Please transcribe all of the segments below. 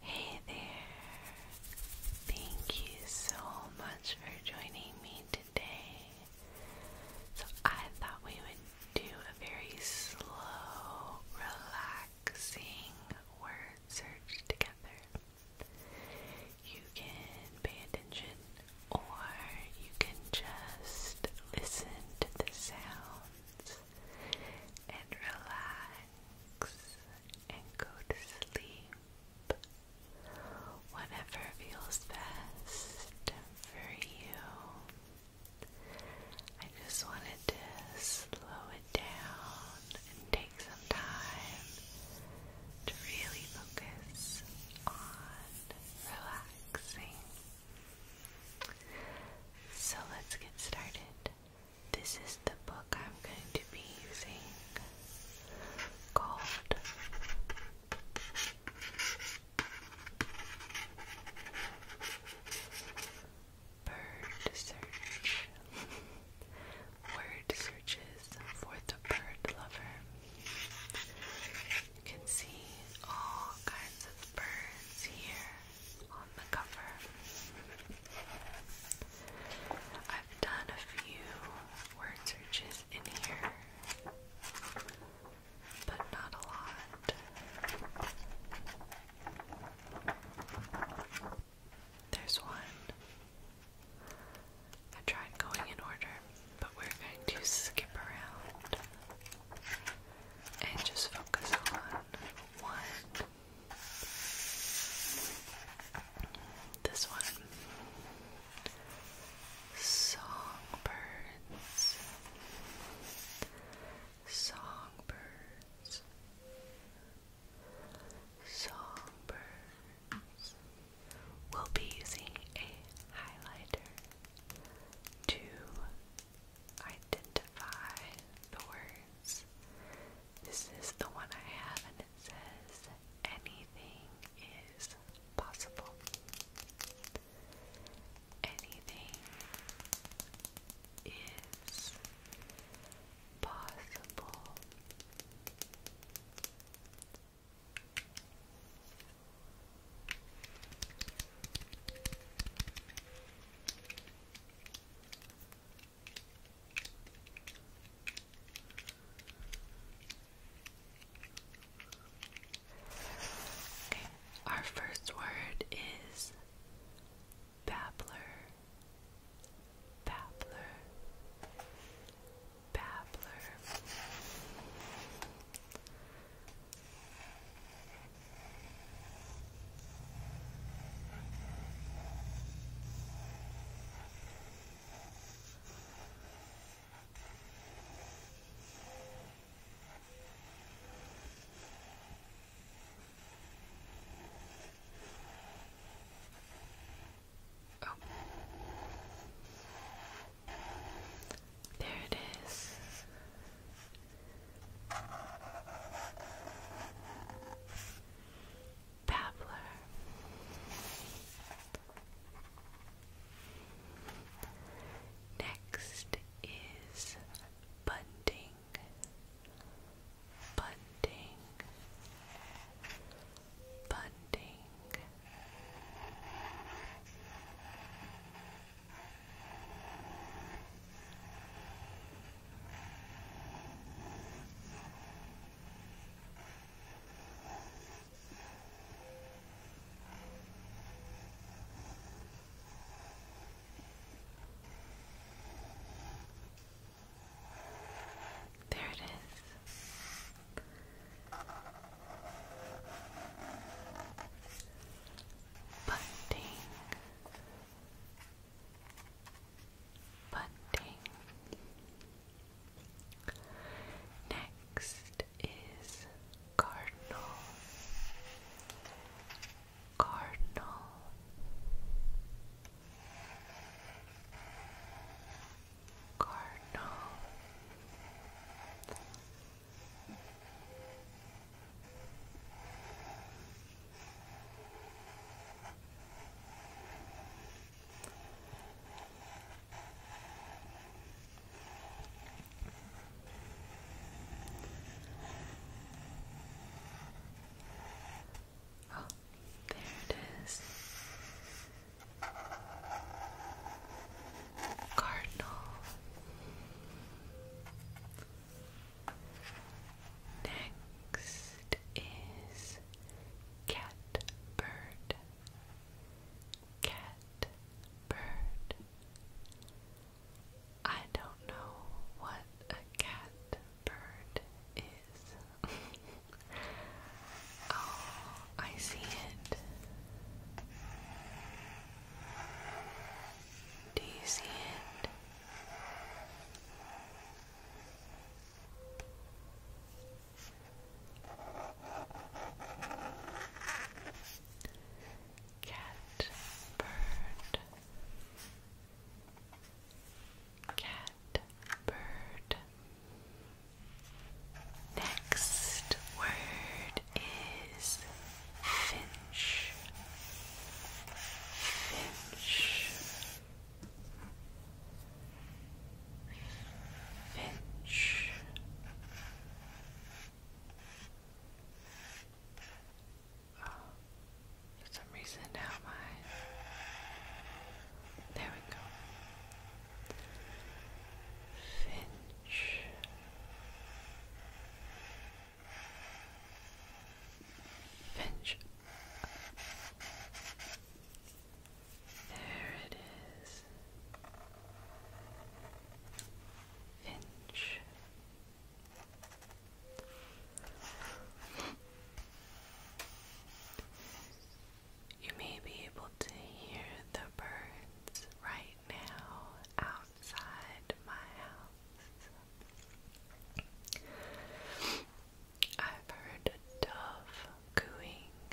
Hey there! Thank you so much for joining me today. So, I thought we would do a very slow, relaxing word search together. You can pay attention, or you can just listen to the sounds and relax and go to sleep. Whatever feels best for you. I just wanted to slow it down and take some time to really focus on relaxing. So let's get started. This is the book I'm going to be using called Bird Search Word Searches for the Bird Lover. You can see all kinds of birds here on the cover. I've done a few word searches in here, but not a lot. There's one. I tried going in order, but we're going to skip around and just focus on one this one Songbirds, Songbirds, Songbirds. We'll be using a highlighter to identify the words this is the one I have, and it says, Anything is possible. Anything is possible our first word is babbler, babbler, babbler. Oh. There it is. Babbler. Next is bunting, bunting, bunting. There it is. Bunting bunting. Next is cardinal, cardinal. Cardinal Oh, there it is. Cardinal. Next is cat bird, cat bird. I don't know what a cat bird is. oh, I see it. Do you see it? Cat, bird, cat, bird. Next word is finch, finch, Finch. Oh, for some reason now my there we go. Finch. Finch. There it is. Finch. You may be able to hear the birds right now outside my house. I've heard a dove cooing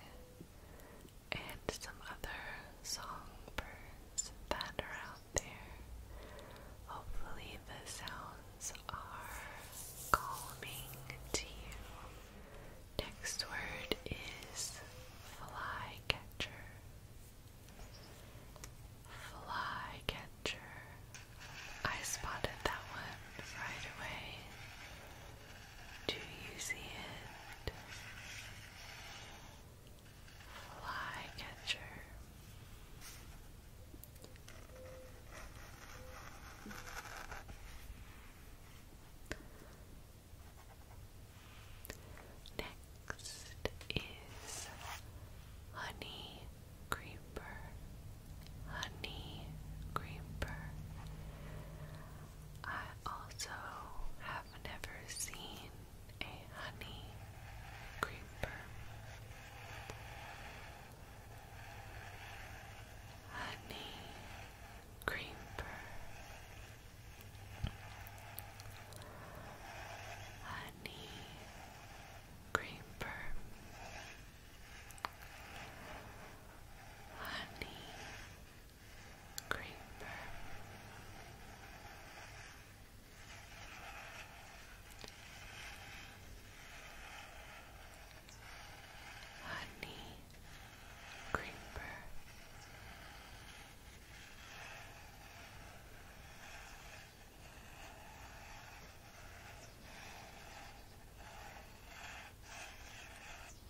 and some other songbirds that are out there. Hopefully, the sounds are calming to you. Next word is flycatcher. Flycatcher. Catcher. I spotted that one right away. Do you see it? Flycatcher. Next is honey creeper, honey creeper. I also have never seen a honey creeper. Honey creeper. Honey creeper honey creeper. Honey creeper.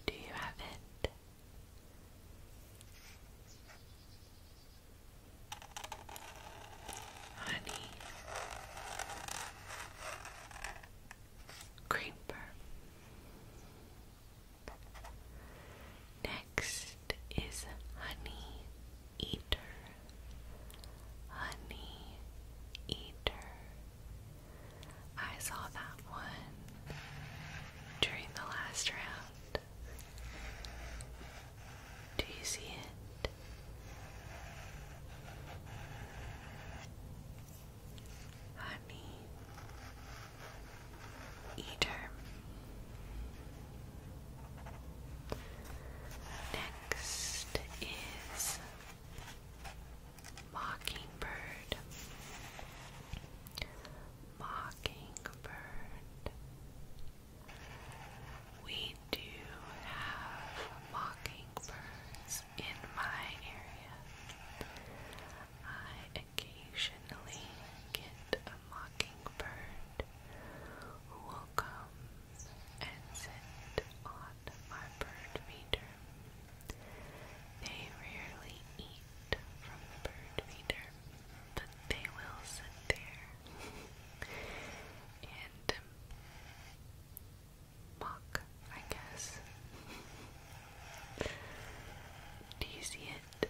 Do you have it? Honey, creeper. Next is honey eater, honey eater. I saw that one during the last round. Do you see it? Honey Eater. Next is Mockingbird. Mockingbird. We do have mockingbirds in my area. I occasionally get a mockingbird who will come and sit on my bird feeder. They rarely eat from the bird feeder, but they will sit there and mock, I guess. Do you see it?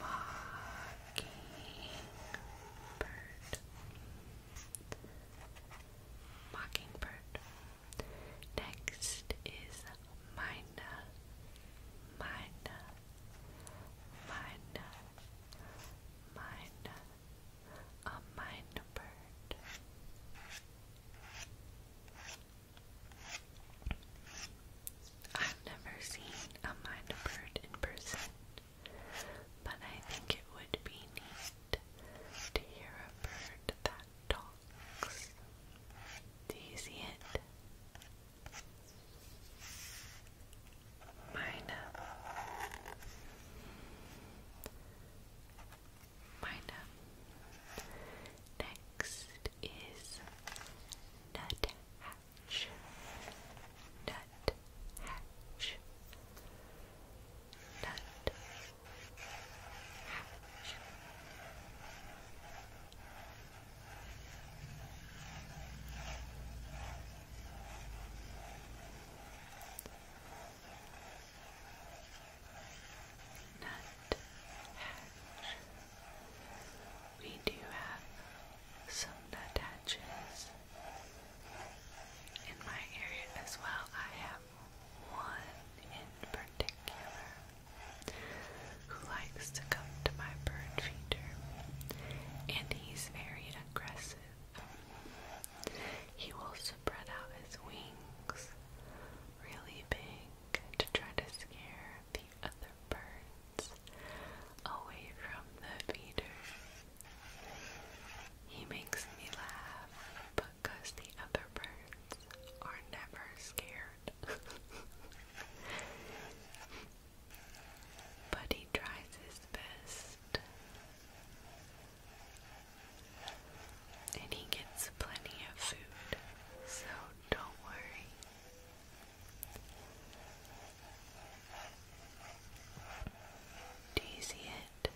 Mockingbird. Mockingbird. Next is Mina. Mina. Mina. Mina. A minor bird. I've never seen a mind bird in person, but I think it would be neat to hear a bird that talks. Do you see it? Mina. Uh, Mina. Uh, Next is nut hatch. Nut hatch. Nut hatch nut hatch. We do have some nut hatches in my area as well. I have one in particular who likes to come to my bird feeder, and he's very aggressive. He will spread out his wings really big to try to scare the other birds away from the feeder. He makes me laugh because the other birds are never scared. but he tries his best. And he gets plenty of food, so don't worry. Do you see it?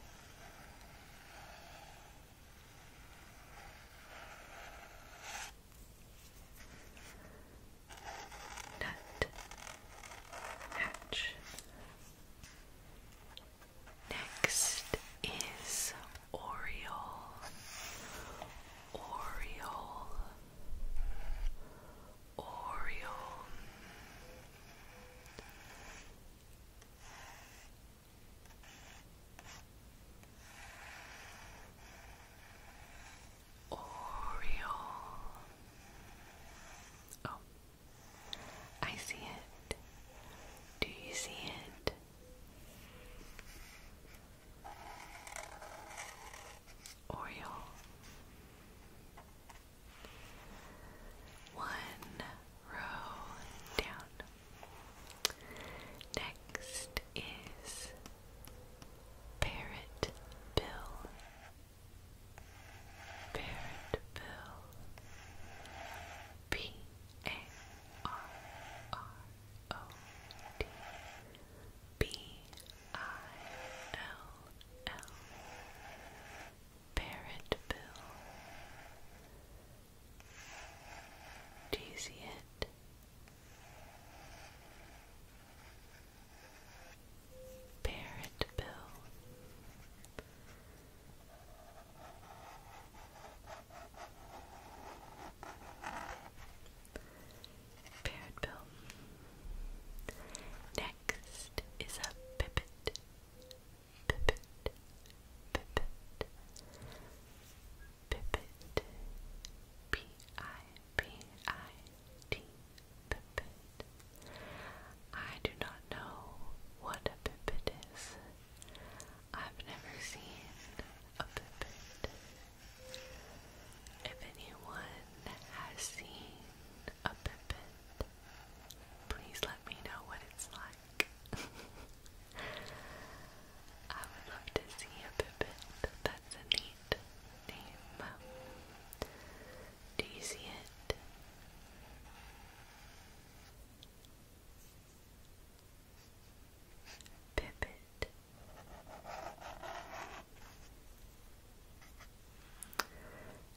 Nut, hatch. Next is Oriole, Oriole, Oriole. Oriole. Oh, I see it. Do you see it? Oriole. One row down. Next is Parrot Bill. Parrot Bill. P A R R O D B I L L Parrot Bill. Do you see it? Parrot Bill. Parrot bill. Next is a pipit. Pipit. Pipit. Pipit. P I P I T. Pipit. I do not know what a pipit is. I've never seen a pipit. If anyone has seen a pippin, please let me know what it's like. I would love to see a pippin. That's a neat name. Do you see it? Pippet,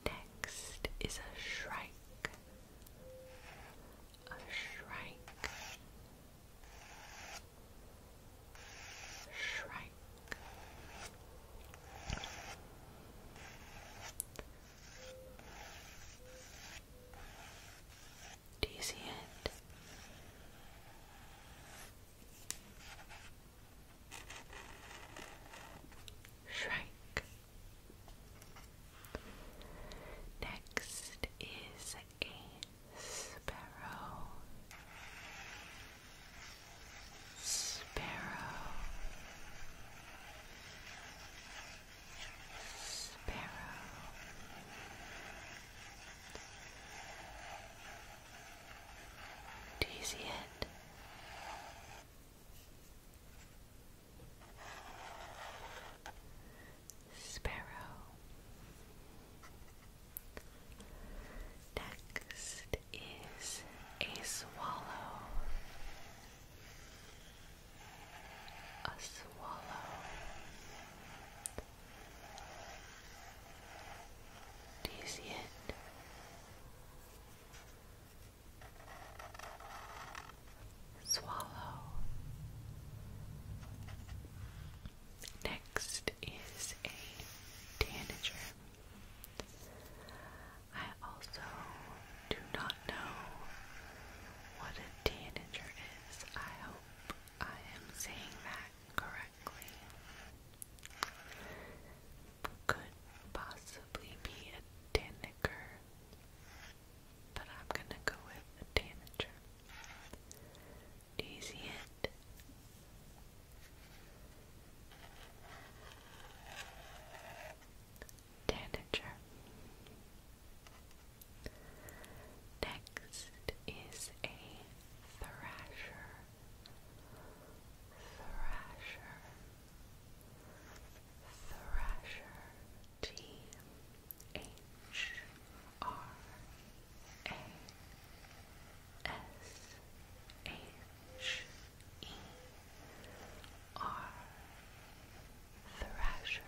Next is a shrike. A shrike. Shrike. Do you see it? Shrike. Next is a sparrow. Sparrow. Sparrow. Do you see it? Sparrow. Next is a swallow. A swallow. Do you see it? Swallow. Next is a tanager. I also do not know what a tanager is. I hope I am saying that correctly, could possibly be a Daniker, but I'm gonna go with a Danager. Do you see Next is a thrasher. Thrasher. Thrasher. T H R A S H E R Thrasher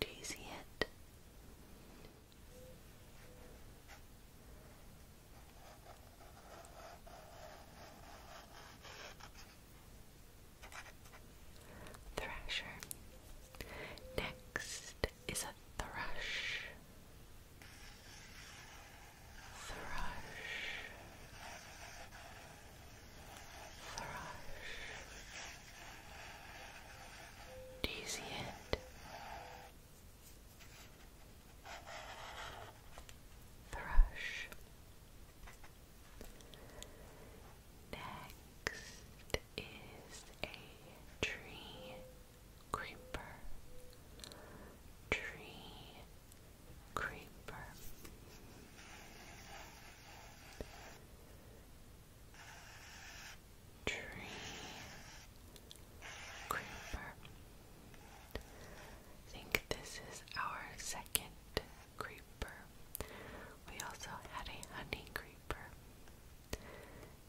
do you see it? Thrasher. Next is a thrush. Thrush. Thrush. Do you see it? Thrush. Next is a tree creeper. Tree creeper tree creeper. I think this is our second creeper. We also had a honey creeper.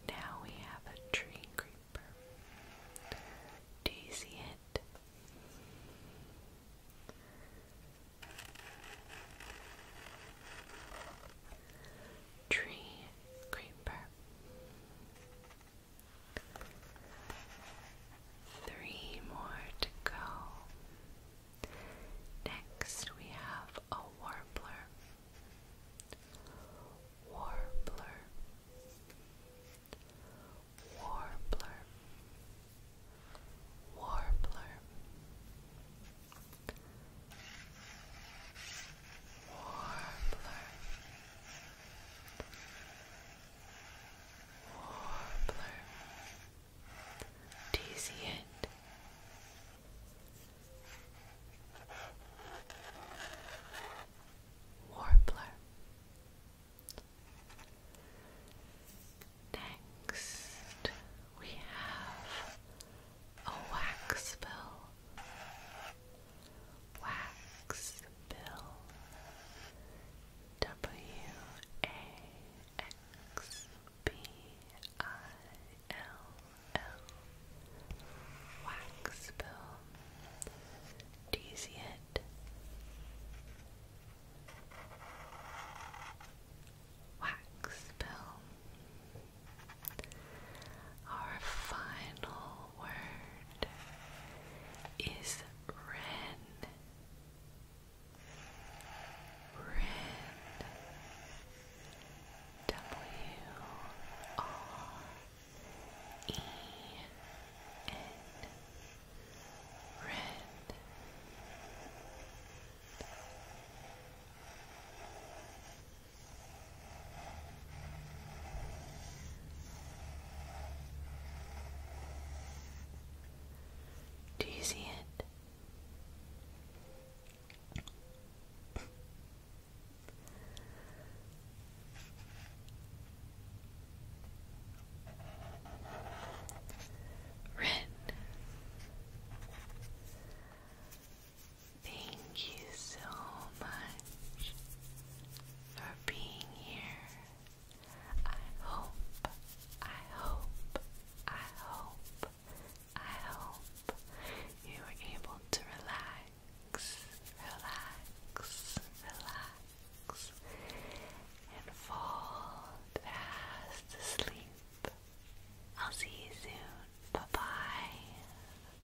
Now we have a tree creeper. Do you see it? Tree creeper. Three more to go. Next, we have a warbler. Warbler. Warbler. Warbler warbler, warbler. Do you Warbler. Next, we have a wax Wax Bill W A X B I L L Do you see it? Wax our final word is Ren. Ren. W R E N. Do you see it? Red Thank you so much for being here. I hope, I hope, I hope, I hope you were able to relax, relax, relax, and fall fast asleep. I'll see you soon. Bye bye.